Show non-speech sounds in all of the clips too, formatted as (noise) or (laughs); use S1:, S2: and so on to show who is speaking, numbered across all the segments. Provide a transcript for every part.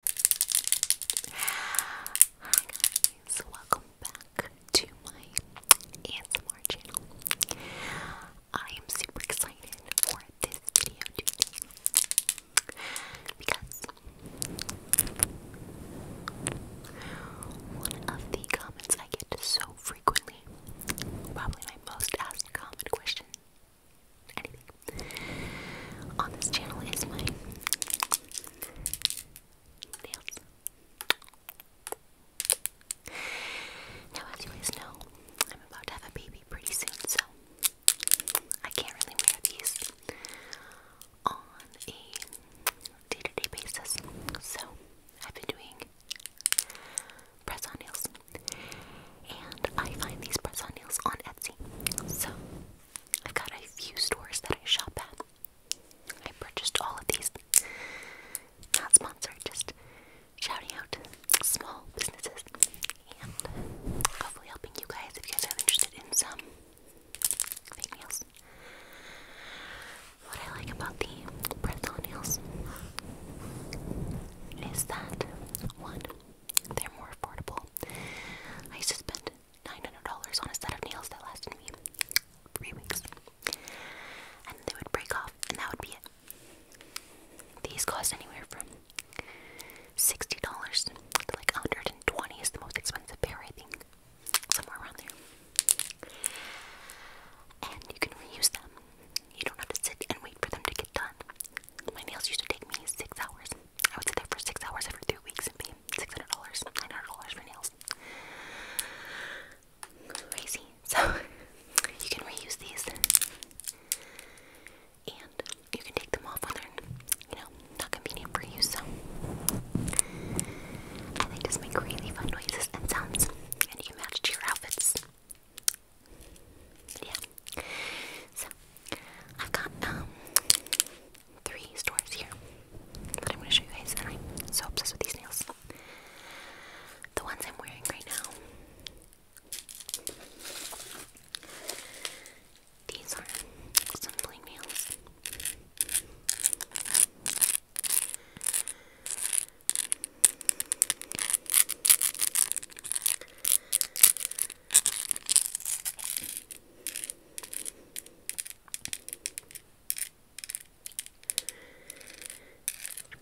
S1: Hi guys, welcome back to my ASMR channel. I am super excited for this video today because one of the comments I get so frequently, probably my most asked comment question on this channel is my nails. Now, as you guys know, I'm about to have a baby pretty soon, so I can't really wear these on a day to day basis. So, I've been doing press on nails, and I find these press on nails on Etsy. So, I've got a few stores that I shop at. I purchased all of these. Not sponsored, just shouting out small businesses and hopefully helping you guys if you guys are interested in some fake nails. What I like about the pretzel nails is that one, they're more affordable. I used to spend $900 on a set of nails that lasted me three weeks. And they would break off, and that would be it. These cost anywhere from $60 to like $120 is the most expensive pair, I think. Somewhere around there. And you can reuse them. You don't have to sit and wait for them to get done. My nails used to take me six hours. I would sit there for six hours every three weeks and pay six hundred dollars, nine hundred dollars for nails. Crazy. So (laughs) you can reuse these, and you can take them off when they're, you know, not convenient for you. So they just make really fun noises and sounds, and you can match to your outfits. Yeah. So I've got um three stores here that I'm gonna show you guys, and I'm so obsessed with these nails. The ones I'm wearing right now. These are some nails.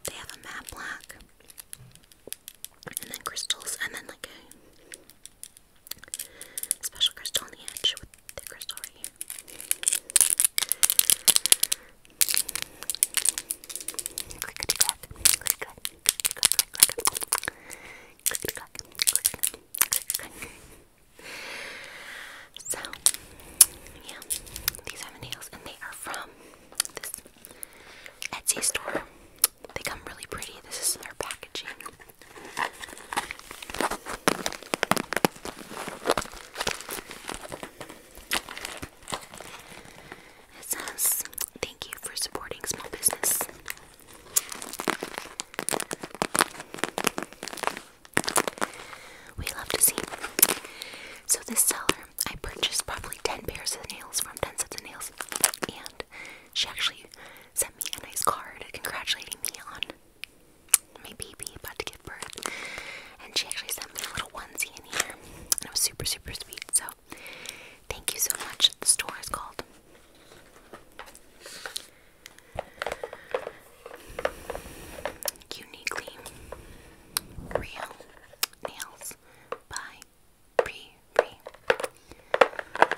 S1: They have a matte black, and then crystals, and then like a special crystal on the edge with the crystal right here. Click, so, yeah, these are nails, and they are from this Etsy store. They come really pretty. This is their packaging. It says, Thank you for supporting small business. We love to see. So, this seller, I purchased probably 10 pairs of nails from 10 sets of nails, and she actually sent me a nice card congratulating me on my baby about to give birth. And she actually sent me a little onesie in here, and it was super, super sweet. So, thank you so much. The store is called. Uniquely Real Nails by Bree Bree. I mean,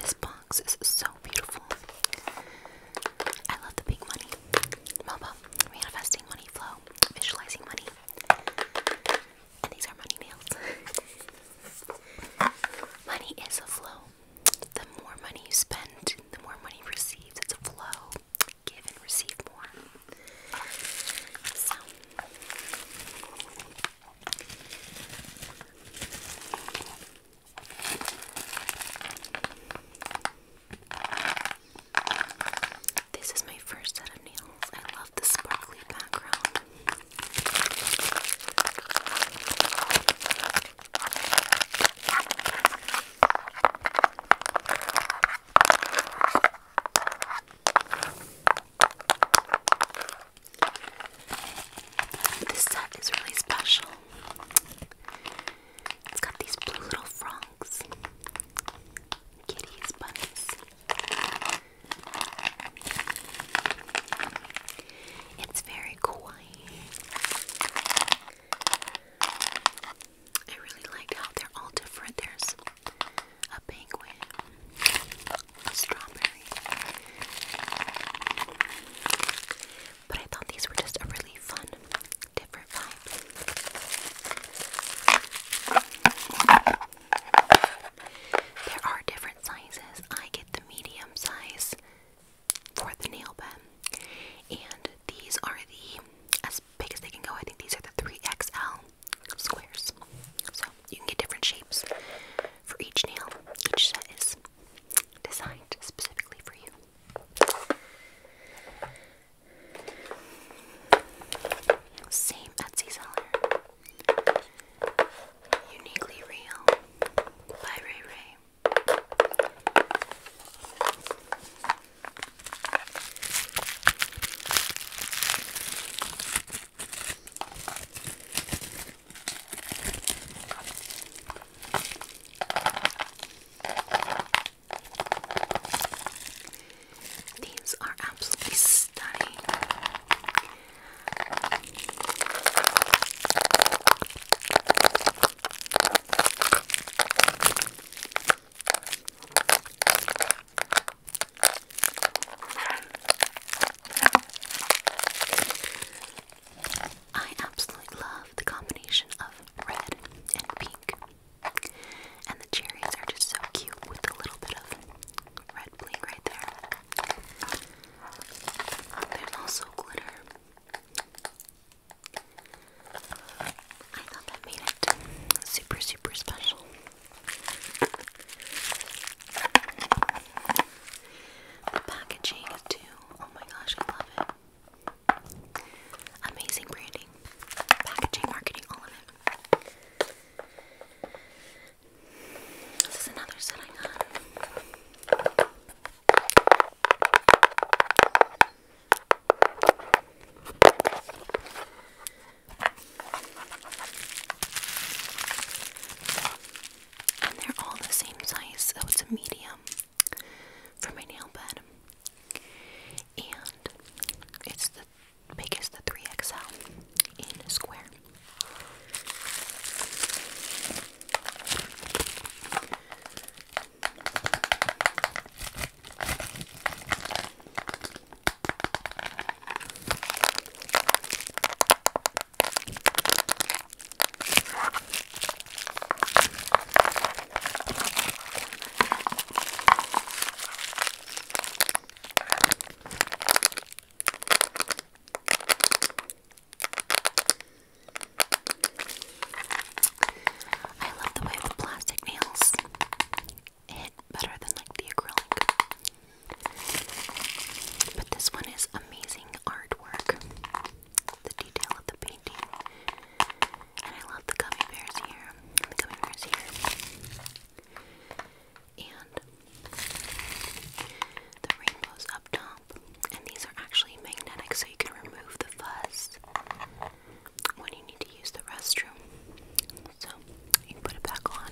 S1: this box is so beautiful. I love the pink money. Melba, manifesting money flow, visualizing money. And these are money nails. (laughs) money is a flow. The more money you spend, the more money you receive. It's a flow. Give and receive more. So this is my first set of nails. I love the sparkly background. This set is really special. It's got these blue little frogs, kitties, bunnies. It's very kawaii. I really like how they're all different. There's a penguin, strawberry. But I thought these were just a really fun, different vibe. There are different sizes. I get the medium size for the nail bed, and these are the as big as they can go. I think these are the 3XL squares. So you can get different shapes for each nail. Each set is designed specifically for you. Same Etsy seller. Uniquely Real by Ray Ray. These are absolutely stunning. I absolutely love the combination of red and pink. And the cherries are just so cute with a little bit of red bling right there. There's also glitter. I thought that made it super, super special packaging too. Oh my gosh, I love it. Amazing branding, packaging, marketing, all of it. This is another set I got. And they're all the same size, so it's a medium for my nail bed. And it's the biggest, the 3XL in square. I love the way the plastic nails hit better than like the acrylic. But this one is amazing artwork. The detail of the painting. And I love the cummy bears here. The gummy bears here. And the rainbows up top. And these are actually magnetic, so you can remove the fuzz when you need to use the restroom so you put it back on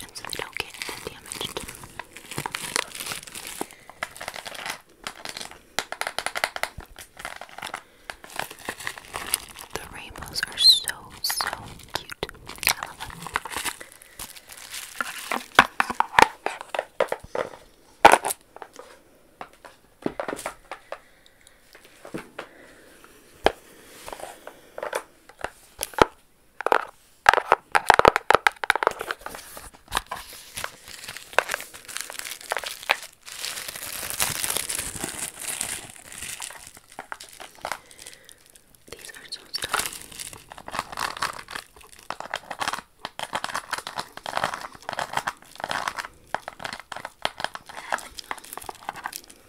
S1: and so they don't get damaged. The rainbows are so, so cute. These are so stunning.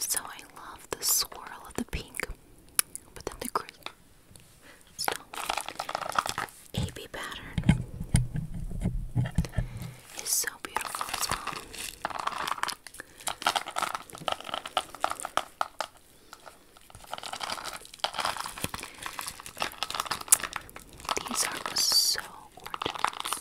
S1: So I love the swirl of the pink, but then the green. AB pattern is so beautiful as well. These are so gorgeous.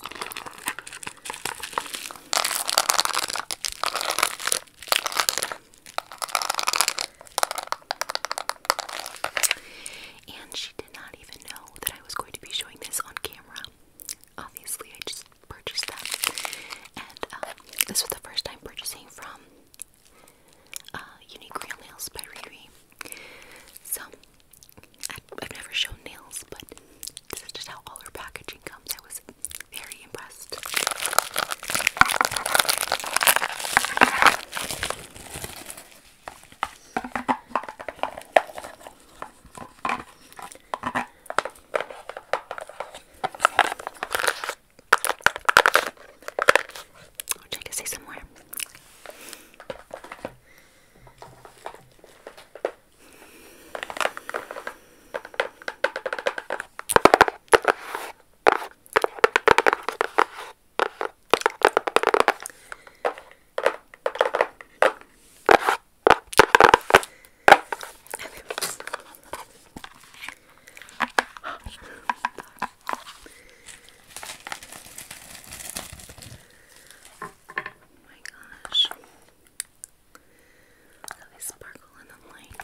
S1: And she not even know that I was going to be showing this on camera. Obviously, I just purchased them, and um, this was the first time purchasing from uh, Unique Real Nails by Riri. So, I've never shown nails, but this is just how all her packaging comes. I was very impressed. Which I can see somewhere. Oh my gosh. Look at sparkle in the light.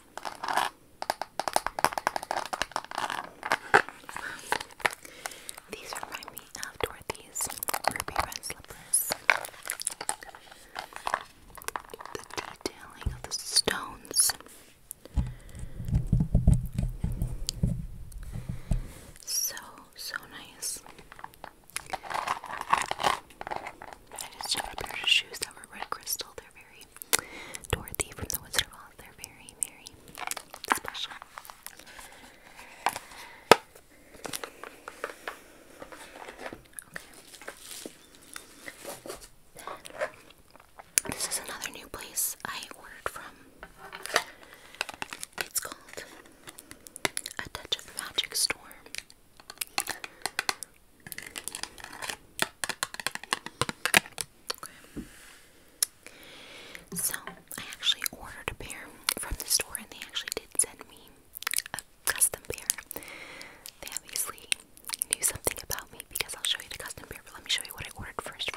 S1: These remind me of Dorothy's ruby red slippers. The detailing of the stones. So, so nice. I just checked a pair of shoes that were red crystal. They're very Dorothy from The Wizard of Oz. They're very, very special. Okay. This is another new place I ordered from. It's called A Touch of Magic Store. So, I actually ordered a pair from the store, and they actually did send me a custom pair. They obviously knew something about me because I'll show you the custom pair, but let me show you what I ordered first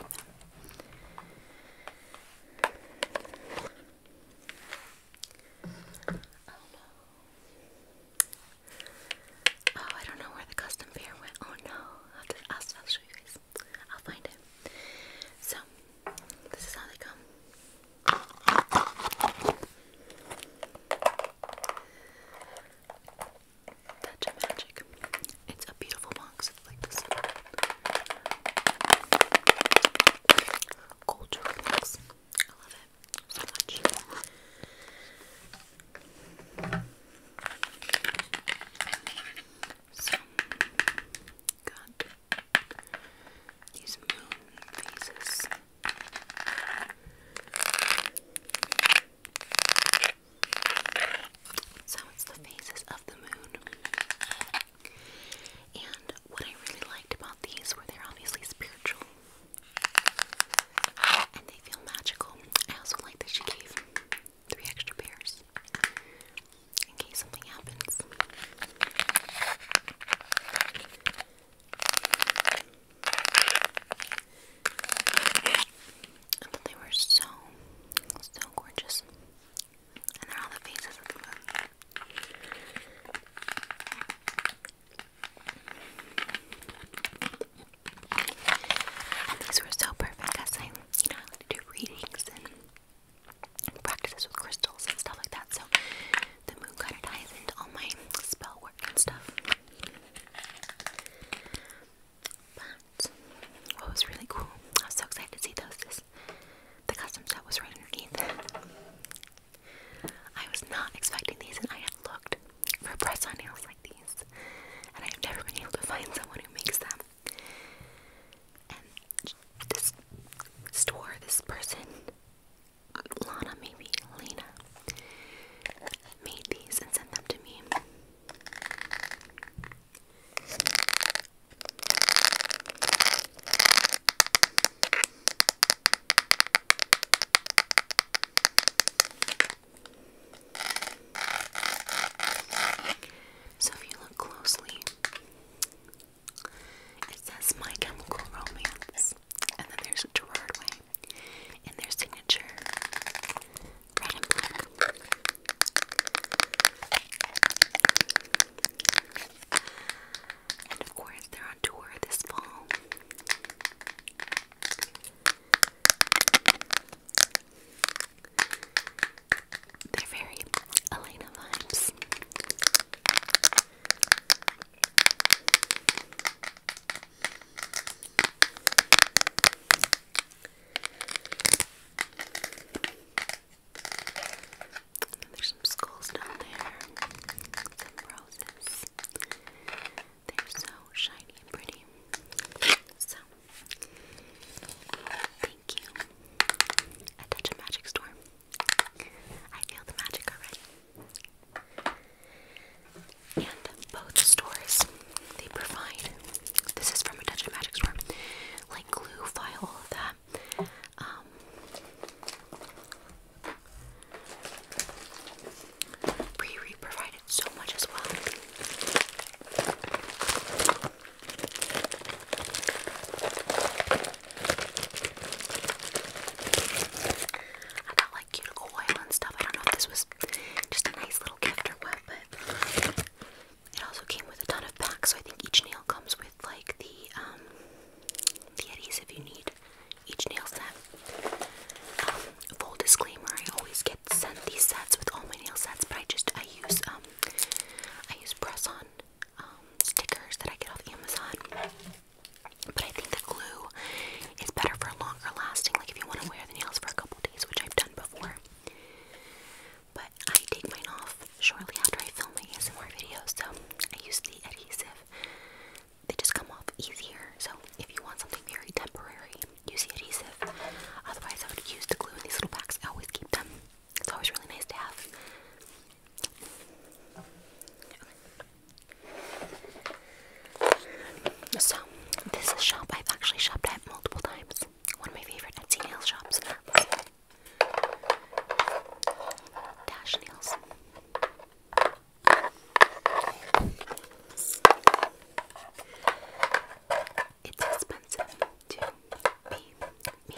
S1: Oh, I don't know where the custom pair went. Oh no, I'll, have to, I'll, I'll show you guys. I'll find it. So, this is how they come. Touch magic. It's a beautiful box. like this. Gold jewelry box. I love it so much. So, got these moon phases. So it's the phases of the moon. And what I really liked about these were they're obviously spiritual and they feel magical. I also like that she gave three extra pairs in case something happens. I thought they were so, so gorgeous. And they're all the faces of the these were so perfect I, you know, do readings and practices with crystals and stuff like that. So the moon kind of ties into all my spell work and stuff. But what was really cool, I was so excited to see those. This, the custom set was right underneath. I was not expecting these, and I had looked for press on nails like these, and I have never been able to find someone who makes them. And this store, this person, Lana maybe, Lena, made these and sent them to me. So, if you look closely, it says My Chemical Romance, and then there's Gerard Way, and their signature, And of course, they're on tour this fall. They're very Elena vibes. There's some skulls down there, some roses. They're so shiny and pretty. So, thank you, Attention Magic Store. I feel the magic already. And both stores, they provide, this is from Attention Magic Store, like glue file, that. Um, Riri provided so much as well. I got like cuticle oil and stuff. I don't know if this was just a nice little gift or what, but it also came with a ton of packs. So I think each nail comes with like the um the adhesive you need each nail set. Um, full disclaimer: I always get sent these sets with all my nail sets, but I just I use um I use press on um, stickers that I get off Amazon. But I think the glue is better for longer lasting. Like if you want to wear the nails for a couple days, which I've done before. But I take mine off shortly after I film my ASMR videos, so I use the adhesive they just come off easier. So if you want something very temporary, use the adhesive. Otherwise, I would use the glue in these little packs. I always keep them. It's always really nice to have. So this is a shop I've actually shopped at multiple times. One of my favorite Etsy nail shops. Dash nails. It's expensive to be me.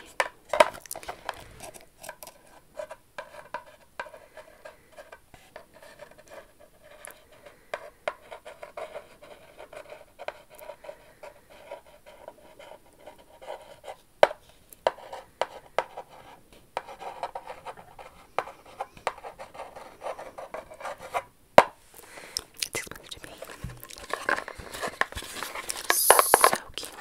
S1: It's expensive to me. So cute.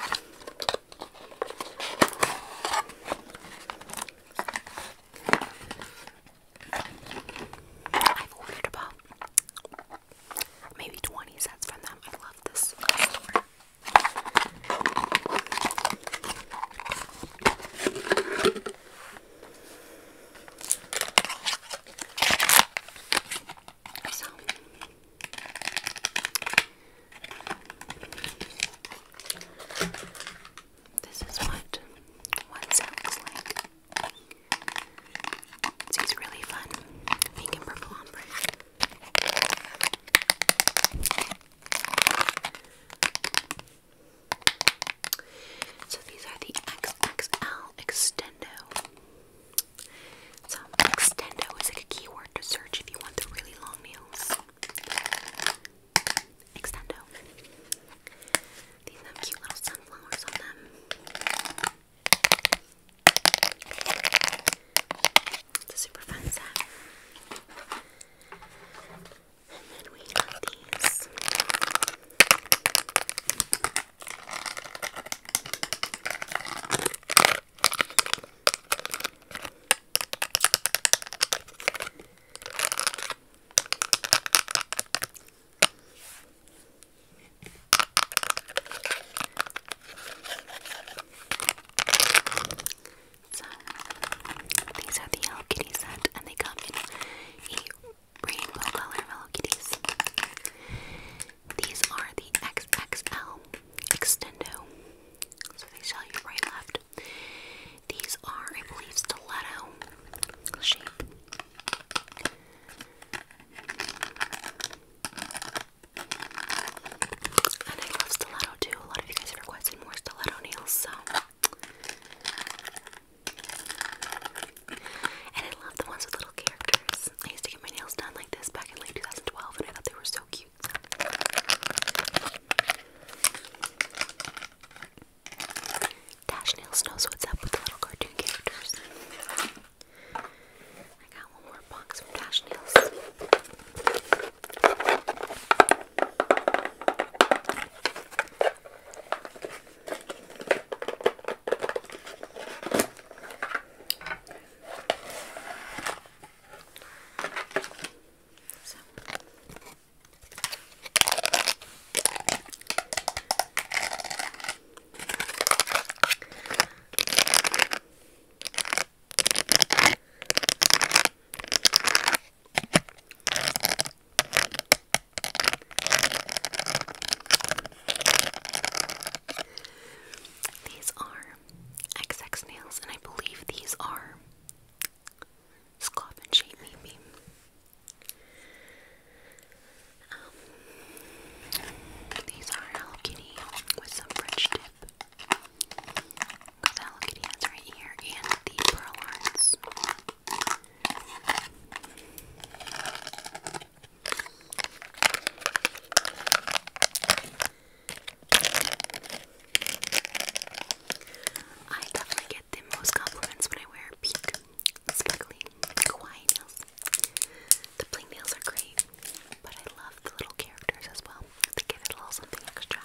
S1: I've ordered about maybe 20 sets from them. I love this this is what one sounds like. It's really fun, pink purple ombre. So these are the XXL Extendo. So Extendo is a keyword to search if you want the really long nails. Extendo. These have cute little sunflowers on them. It's a super fun set. And then we have these. So these are the Hello Kitty set, and they come in a rainbow color Hello Kitties. These are the XXL Extendo. So they show you right left. These are, I believe, stiletto shape. And I love stiletto too. A lot of you guys have requested more stiletto nails, so. And I love the ones with little characters. I used to get my nails done like this back in like 2012, and I thought they were so cute. Dash Nails knows what's up with the little cartoon characters. I got one more box of Dash Nails. So. These are XX nails, and I believe these are scoff shape, maybe. Um, these are Hello with some French dip. Because Hello Kitty has right here and the pearl hearts. I definitely get the most compliments when I wear pink, sparkly, kawaii nails. The bling nails are great. But I love the little characters as well. They give it a little something extra.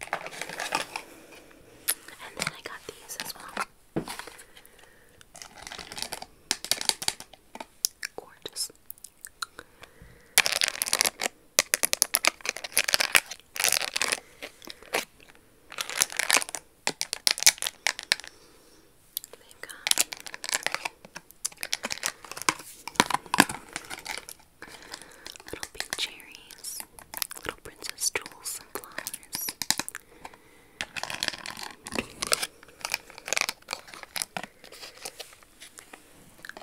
S1: And then I got these as well. Gorgeous. They've little pink cherries, little princess jewels, and flowers. I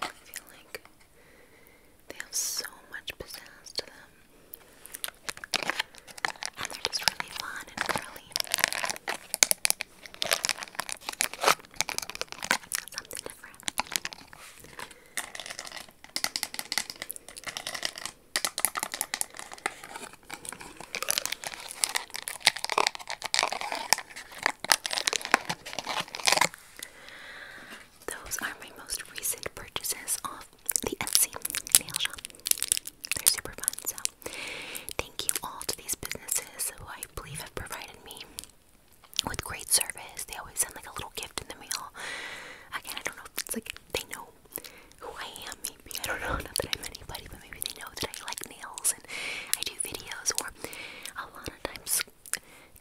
S1: feel like they have so much pizzazz to them. And they're just really fun and curly. Those are my most recent purchases off the Etsy nail shop. They're super fun, so Thank you all to these businesses who I believe have provided me with great service. They always send like a little gift in the mail. Again, I don't know if it's like they know who I am, maybe. I don't know, not that I'm anybody, but maybe they know that I like nails and I do videos, or a lot of times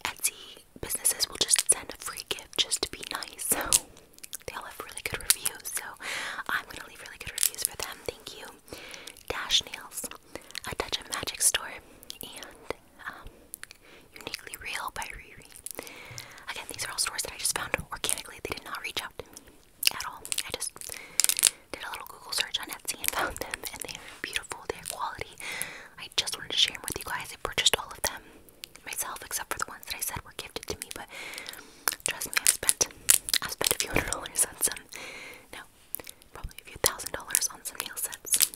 S1: Etsy businesses will just send a free gift just to be nice. So they all have really good reviews. So I'm gonna leave really good reviews for them. Thank you. Dash Nails, A Touch of Magic Store, and um, Uniquely Real by Riri. Again, these are all stores that I just found organically. They did not reach out to me at all. I just did a little Google search on Etsy and (laughs) found them, and they are beautiful. They are quality. I just wanted to share them with you guys. I purchased all of them myself, except for the ones that I said were gifted to me, but Trust me, I've spent, i spent a few hundred dollars on some, no, probably a few thousand dollars on some nail sets.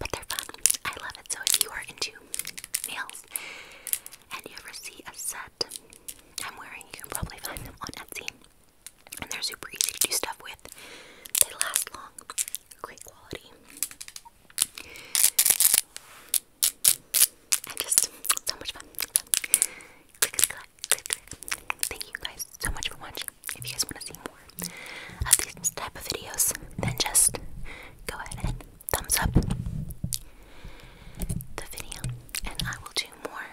S1: But they're fun. I love it. So if you are into nails and you ever see a set I'm wearing, you can probably find them on Etsy. And they're super easy to do stuff with. They last long. Great quality and just so much fun. click, click, click, Thank you guys so much for watching. If you guys want to see more of these type of videos, then just go ahead and thumbs up the video, and I will do more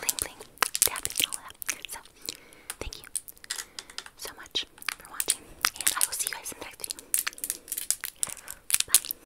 S1: bling bling tapping and So, thank you so much for watching, and I will see you guys in the next video. Bye.